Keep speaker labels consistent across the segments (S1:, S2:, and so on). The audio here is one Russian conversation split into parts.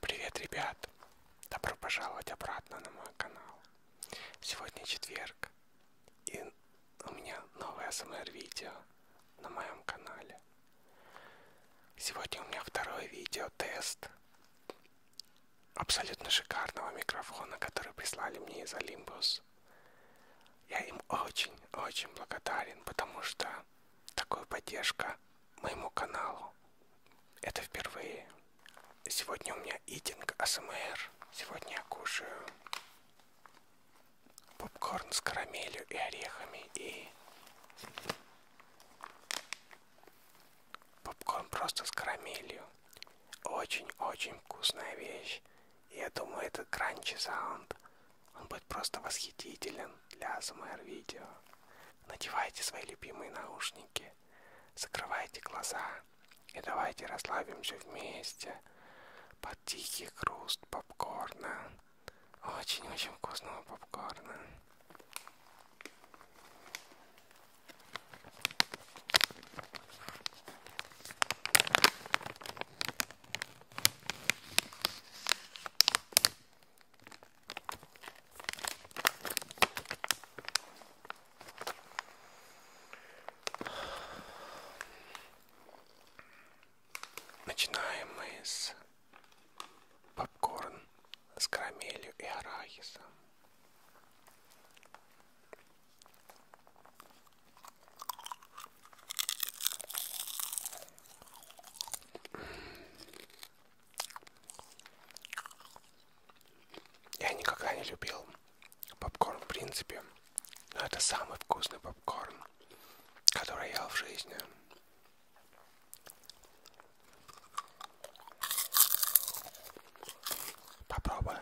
S1: Привет, ребят! Добро пожаловать обратно на мой канал. Сегодня четверг, и у меня новое СМР-видео на моем канале. Сегодня у меня второе видео-тест абсолютно шикарного микрофона, который прислали мне из Olympus. Я им очень-очень благодарен, потому что Такая поддержка моему каналу. Это впервые. Сегодня у меня итинг АСМР. Сегодня я кушаю попкорн с карамелью и орехами и попкорн просто с карамелью. Очень-очень вкусная вещь. Я думаю, этот кранчи саунд, он будет просто восхитителен для АСМР видео. Надевайте свои любимые наушники, закрывайте глаза и давайте расслабимся вместе под тихий хруст попкорна. Очень-очень вкусного попкорна. Начинаем мы с попкорн с карамелью и арахисом. Я никогда не любил попкорн в принципе, но это самый вкусный попкорн, который я ел в жизни. Попробуй.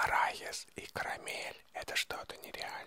S1: Арахис и карамель – это что-то нереальное.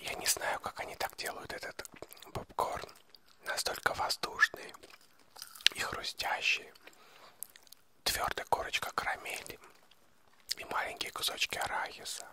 S1: Я не знаю, как они так делают этот попкорн. Настолько воздушный и хрустящий. Твердая корочка карамели и маленькие кусочки арахиса.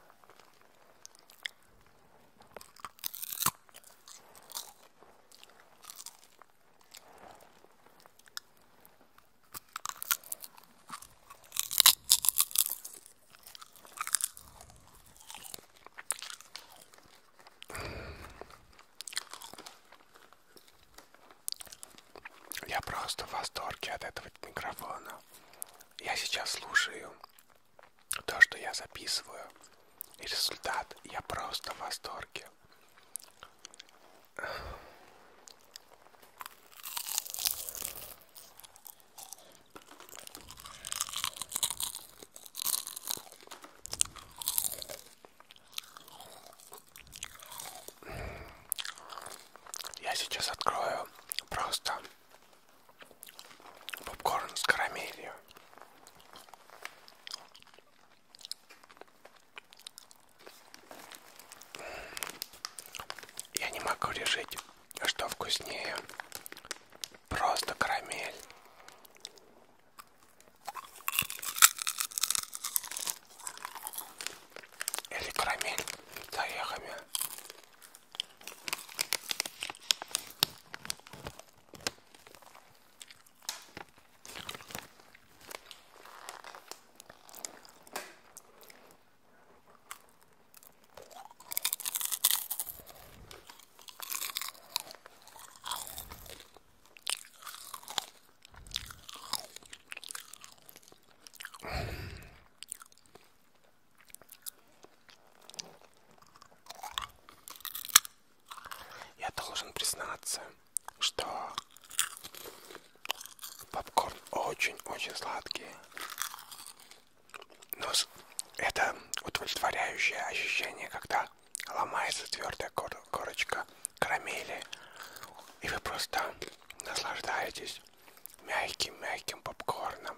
S1: Я просто в восторге от этого микрофона. Я сейчас слушаю то, что я записываю. И результат я просто в восторге. Я сейчас открою просто попкорн с карамелью. Я не могу решить что вкуснее, просто карамель или карамель с орехами. Я должен признаться, что попкорн очень-очень сладкий. Но это удовлетворяющее ощущение, когда ломается твердая кор корочка карамели, и вы просто наслаждаетесь мягким-мягким попкорном.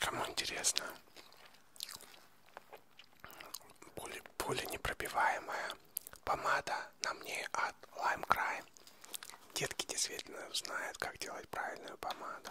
S1: Кому интересно? Пули, пули непробиваемая помада на мне от Lime Crime. Детки действительно знают, как делать правильную помаду.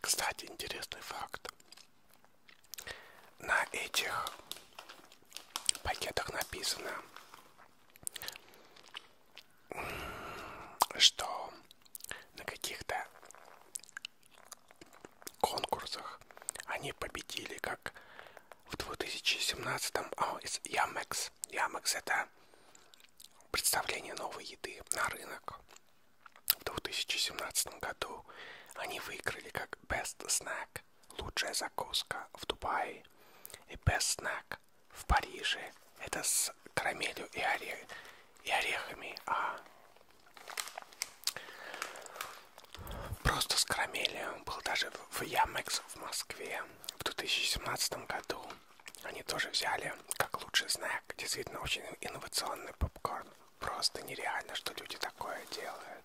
S1: Кстати, интересный факт. На этих пакетах написано, что на каких-то конкурсах они победили, как в 2017 а, из Ямекс. Ямекс это представление новой еды на рынок. В 2017 году они выиграли как Best Snack – лучшая закуска в Дубае и Best Snack в Париже. Это с карамелью и, орех, и орехами, а просто с карамелью. Был даже в Ямекс в Москве в 2017 году. Они тоже взяли, как лучший знак, действительно очень инновационный попкорн. Просто нереально, что люди такое делают.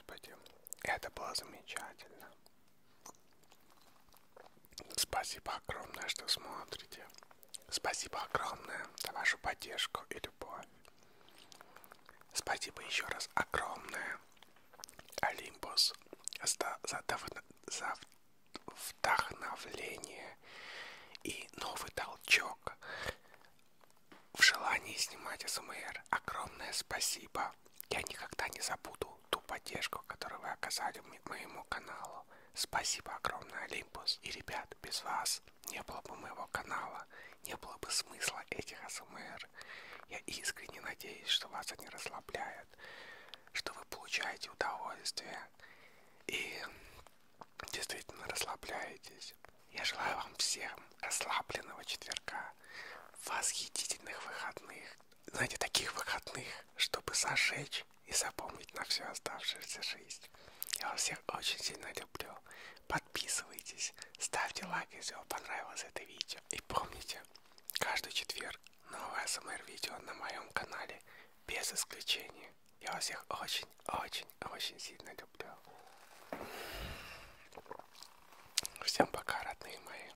S1: Господи, это было замечательно. Спасибо огромное, что смотрите. Спасибо огромное за вашу поддержку и любовь. Спасибо еще раз огромное, Олимпус, за, за, за вдохновление и новый толчок в желании снимать СМР. Эм огромное спасибо. Я никогда не забуду ту поддержку, которую вы оказали мне, моему каналу. Спасибо огромное, Олимпус. И, ребят, без вас не было бы моего канала, не было бы смысла этих АСМР. Я искренне надеюсь, что вас они расслабляют, что вы получаете удовольствие и действительно расслабляетесь. Я желаю вам всем расслабленного четверга, восхитительных выходных, знаете, таких выходных, чтобы зажечь и запомнить на всю оставшуюся жизнь. Я вас всех очень сильно люблю. Подписывайтесь, ставьте лайк, если вам понравилось это видео. И помните, каждый четверг новое СМР-видео на моем канале, без исключения. Я вас всех очень, очень, очень сильно люблю. Всем пока, родные мои.